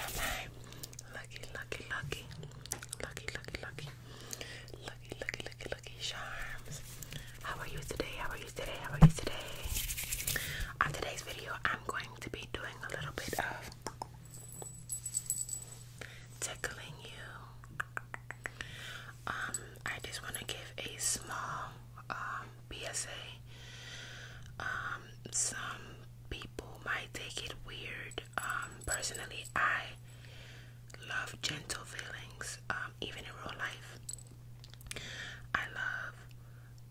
Am I lucky, lucky, lucky, lucky, lucky, lucky, lucky, lucky, lucky, lucky charms? How are you today? How are you today? How are you today? On today's video, I'm going to be doing a little bit of tickling you. Um, I just want to give a small um, PSA. Um, some people might take it weird. personally, I love gentle feelings, even in real life. I love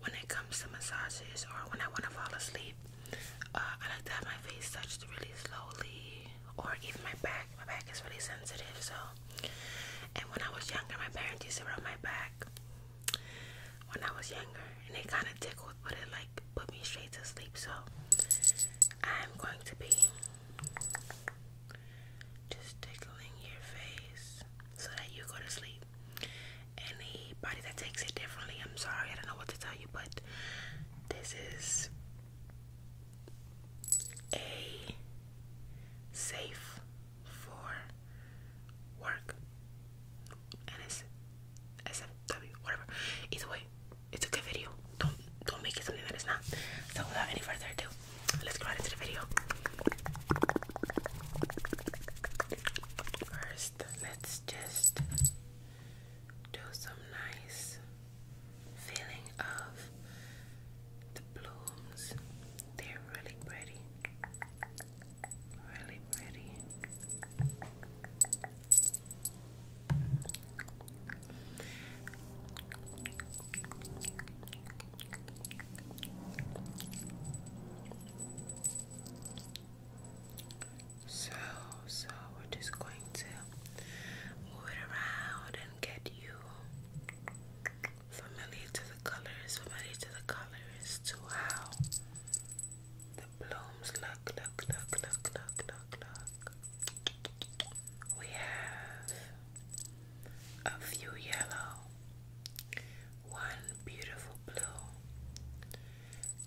when it comes to massages or when I want to fall asleep. Uh, I like to have my face touched really slowly or even my back. My back is really sensitive, so. And when I was younger, my parents used to rub my back. When I was younger, and it kind of tickled, but it like put me straight to sleep. So I'm going to be just tickling your face so that you go to sleep. Anybody that takes it differently, I'm sorry, I don't know what to tell you, but this is a safe for work. And it's SFW, whatever. Either way, it's a good video. Don't don't make it something that is not. So without any further ado, let's go right into the video. First, let's just do some nice feeling of the blooms. They're really pretty. Really pretty. So, so we're just going to move it around and get you familiar to the colors, familiar to the colors, to how the blooms look, look, look, look, look, look, look. We have a few yellow, one beautiful blue,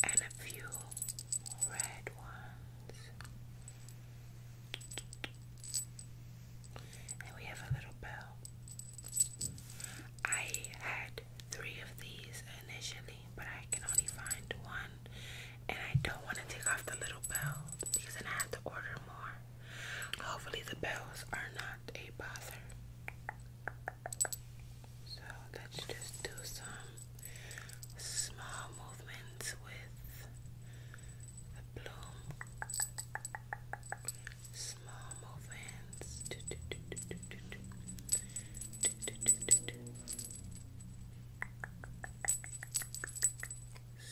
and a few red ones. And we have a little bell. I had three of these initially, but I can only find one. And I don't want to take off the little bell because then I have to order more. Hopefully, the bells are not a bother. So let's just do some small movements with a bloom, small movements. Do,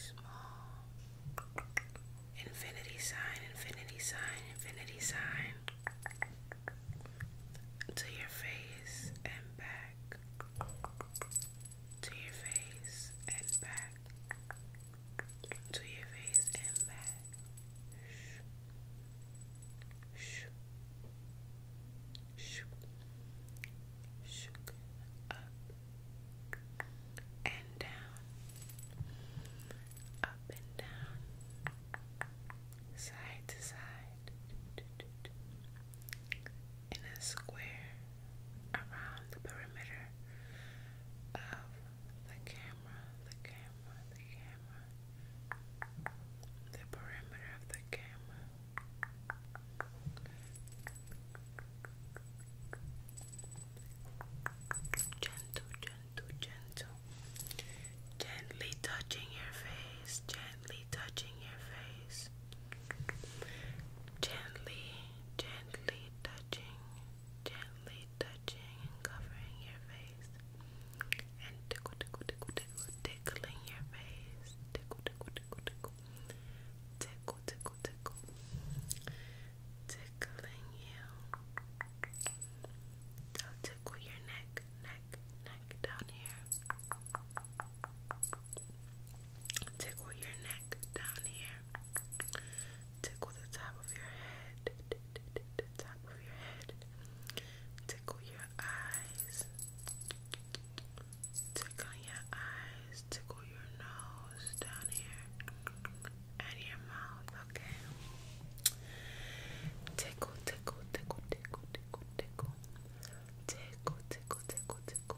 Small infinity sign, infinity sign, infinity sign to your face and back to your face and back, to your face and back. Shoop, shoop, shook up and down, up and down, side to side, in a square around the perimeter of the camera, the camera, the camera, the perimeter of the camera. Gentle, gentle, gentle. Gently touching your face, gently touching your face. Gently, gently touching gently touching and covering your face. And tickle, tickle, tickle, tickle, tickling your face. Tickle, tickle, tickle, tickle. Tickle, tickle, tickle. Tickling you. i tickle your neck, neck, neck down here. Tickle your neck down here. Tickle the top of your head. The top of your head. Tickle your eyes. Tickle your eyes. Tickle your nose down here. And your mouth, okay? Tickle, tickle, tickle, tickle, tickle, tickle. Tickle, tickle, tickle, tickle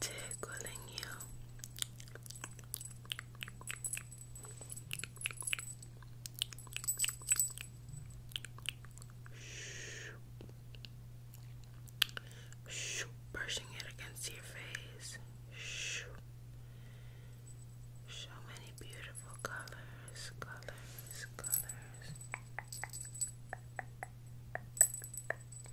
tickling you. Brushing it against your face. So many beautiful colors, colors, colors.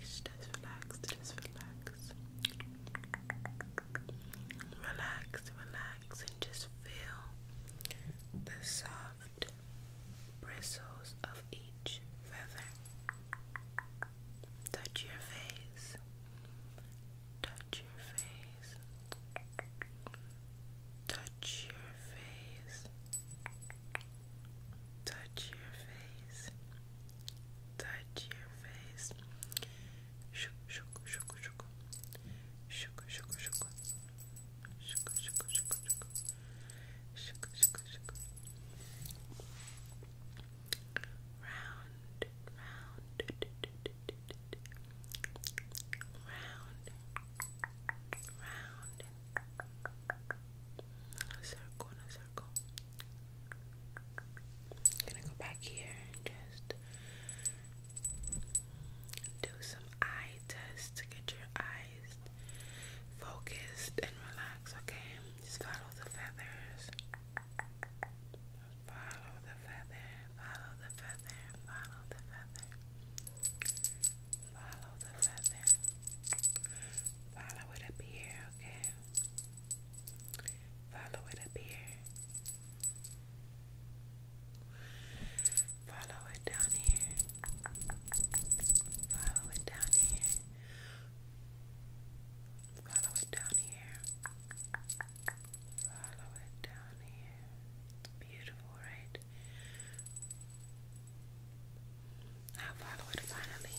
just relax, just relax. Relax, relax, and just feel the soft bristles of each feather. touch your face, touch your face, touch your face. Touch your face touch your face. Shook, shook, shook, shook. Shook, shook, shook. Shook, shook, shook, shook. Shook, shook, shook. Round, round, round, round. Circle, circle. I'm gonna go back here and just do some eye tests to get your eyes focused and relaxed, okay? Just follow the feathers. Follow the feather, follow the feather, follow the feather. Follow the feather. Follow it up here, okay? Follow it up here. Follow it down here. Follow it down here. Follow it down here. Follow it down here. beautiful, right? I'll follow it finally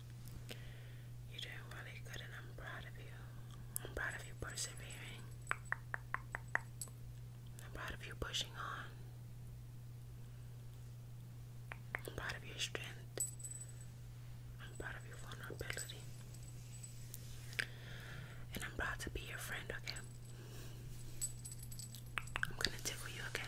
You're doing really good, and I'm proud of you. I'm proud of you persevering. I'm proud of you pushing on. I'm proud of your strength. I'm proud of your vulnerability. And I'm proud to be your friend, okay? I'm gonna tickle you Okay?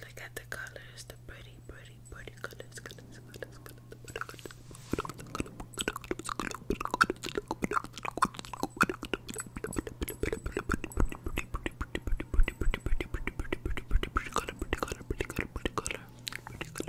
Look at the colors, the pretty, pretty, pretty colors, colors, colors, colors, colors.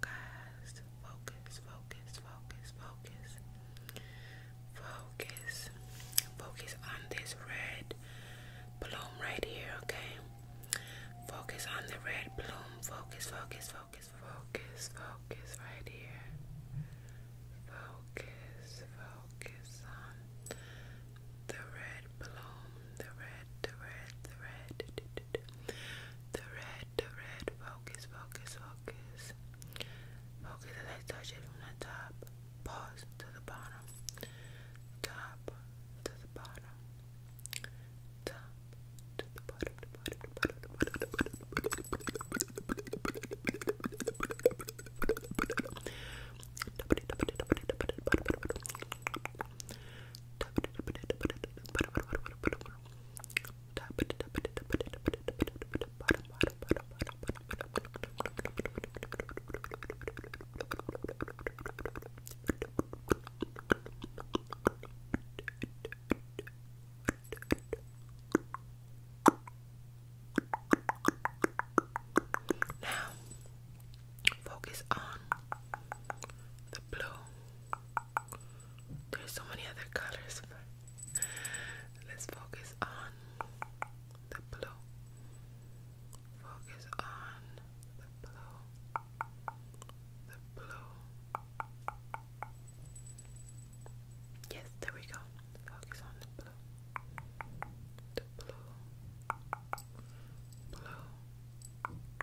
guys. Focus, focus, focus, focus. Focus. Focus on this red bloom right here, okay? Focus on the red bloom. Focus, focus, focus, focus, focus right here. Focus, focus on the red bloom the red, the red, the red, the red, the red. Focus, focus, focus. Focus as I touch it from the top, pause to the bottom, top to the bottom, top to the bottom, the bottom, the bottom, the bottom, the bottom, the bottom, Tap it, now focus on the blue there's so many other colors, let's focus on the blue. Focus on the blue. The blue. Yes, there we go. Focus on the blue. The Blue. Blue.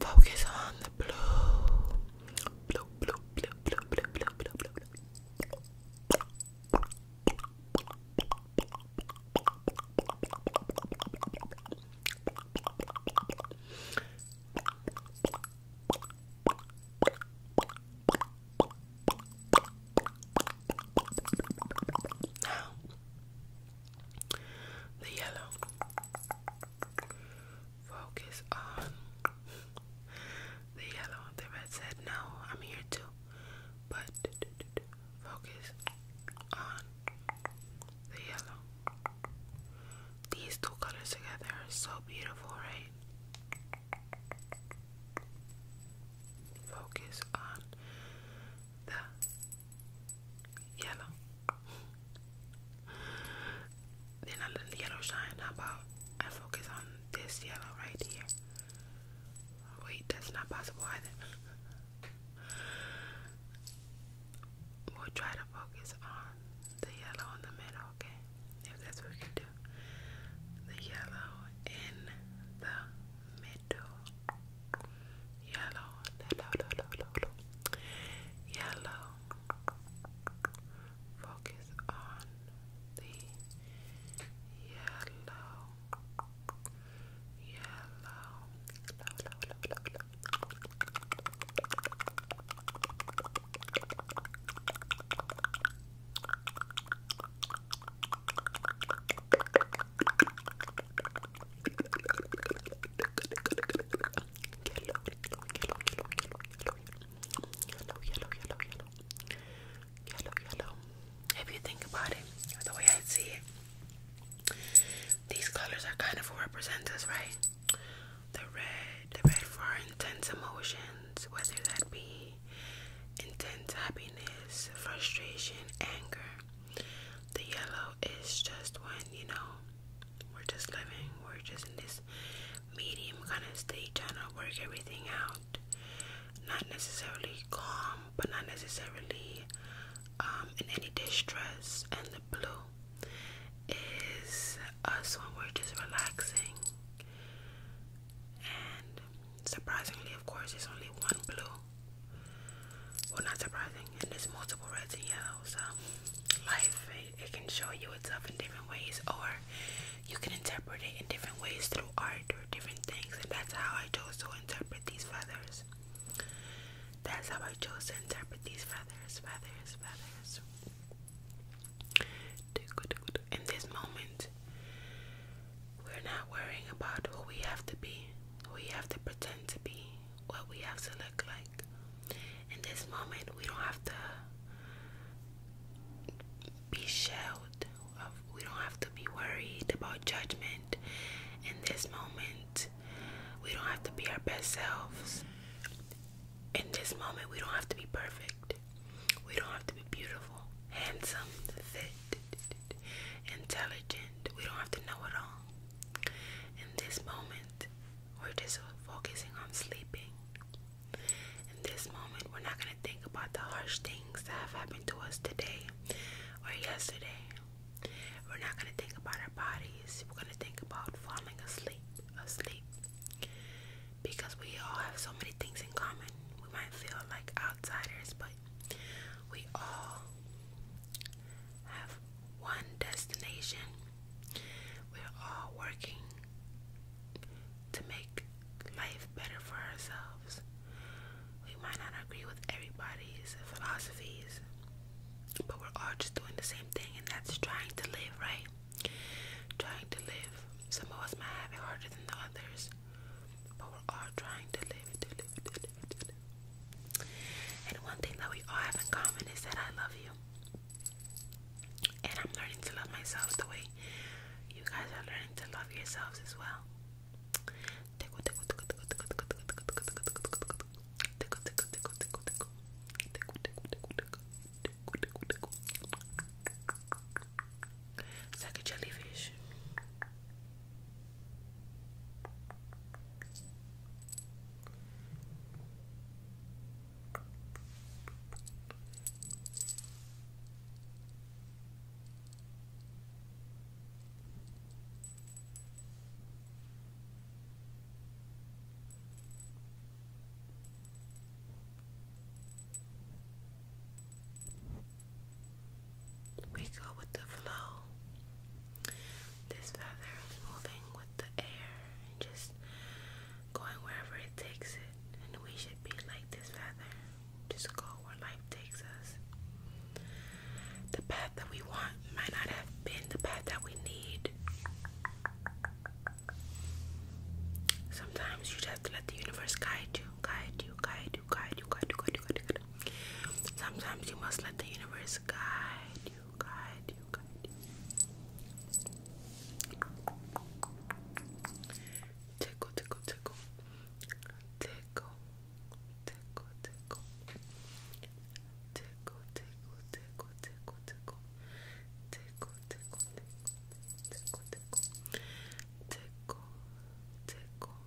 Focus on the blue the yellow. Focus on the yellow. The red said, No, I'm here too. But focus on the yellow. These two colors together are so beautiful, right? Focus on the Yellow. then I let the yellow shine. about I focus on this yellow right here? Wait, that's not possible either. we'll try to focus on the yellow in the middle, okay? If that's what we can do. The yellow in the middle yellow yellow yellow yellow focus on the yellow Yellow, if you think about it, the way I see it, these colors are kind of what represent us, right? The red, the red for our intense emotions, whether that be intense happiness, frustration, anger. The yellow is just when, you know, we're just living, we're just in this medium kind of state trying to work everything out. Not necessarily calm, but not necessarily um, in any distress. And the blue is us when we're just relaxing. And surprisingly, of course, there's only one blue. Well, not surprising. And there's multiple reds and yellows. Um, life, it, can show you up in different ways, or you can interpret it in different ways through art or different things. And that's how I chose to interpret these feathers. That's how I chose to interpret these feathers, feathers, feathers. In this moment, we're not worrying about who we have to be, we have to pretend to be, what we have to look like. In this moment, we don't have to be shelled, we don't have to be worried about judgment. In this moment, we don't have to be our best selves. In this moment, we don't have to be perfect. We don't have to be beautiful, handsome, fit, intelligent. We don't have to know it all. In this moment, we're just focusing on sleeping. In this moment, we're not going to think about the harsh things that have happened to us today or yesterday. We're not going to think about our bodies. We're going to think about falling asleep, asleep. Because we all have so many things in common. We might feel like outsiders, but we all have one destination. We're all working to make life better for ourselves. We might not agree with everybody's philosophies, but we're all just doing the same thing, and that's trying to live, right? Trying to live. Some of us might have it harder than the others, but we're all trying to live, to live. And one thing that we all have in common is that I love you. And I'm learning to love myself the way you guys are learning to love yourselves as well. like a jellyfish. We go with the flow this feather is moving with the air and just going wherever it takes it. And we should be like this feather, just go where life takes us. The path that we want might not have been the path that we need. Sometimes you just have to let the universe guide you, guide you, guide you, guide you, guide you, guide you. Guide you, guide you. Sometimes you must let the universe just guide you, guide you, guide you. Tickle, tickle, tickle. Tickle, tickle, tickle. Tickle, tickle, tickle, tickle, tickle. Tickle, tickle, tickle, tickle, tickle. Tickle, tickle, tickle, tickle.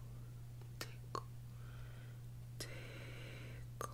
Tickle,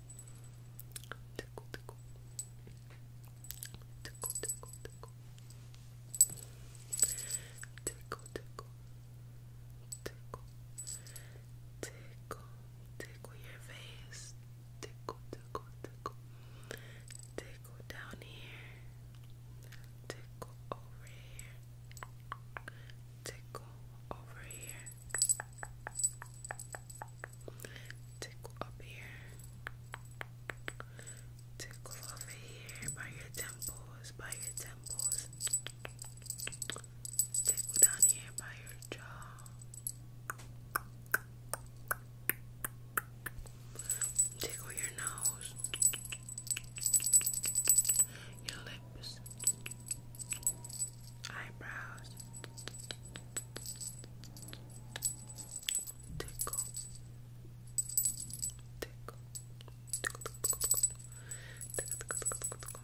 tickle, tickle, tickle, tickle, tickle, tickle, tickle, tickle, your face, tickle, tickle, tickle, tickle down here, tickle over here, tickle over here, Tickle up here. Tickle over here by your temples, by your temples. Tickle down here by your jaw. Tickle your nose. Your lips eyebrows, tickle, tickle, tickle, tickle, tickle, tickle, tickle, tickle. Tickle, tickle, tickle, tickle,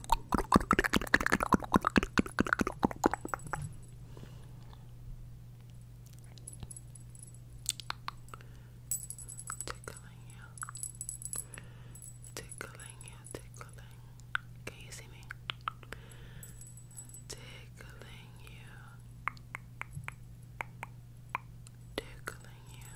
Tickling you. Tickling you, tickling. Can you see me? Tickling you. Tickling you.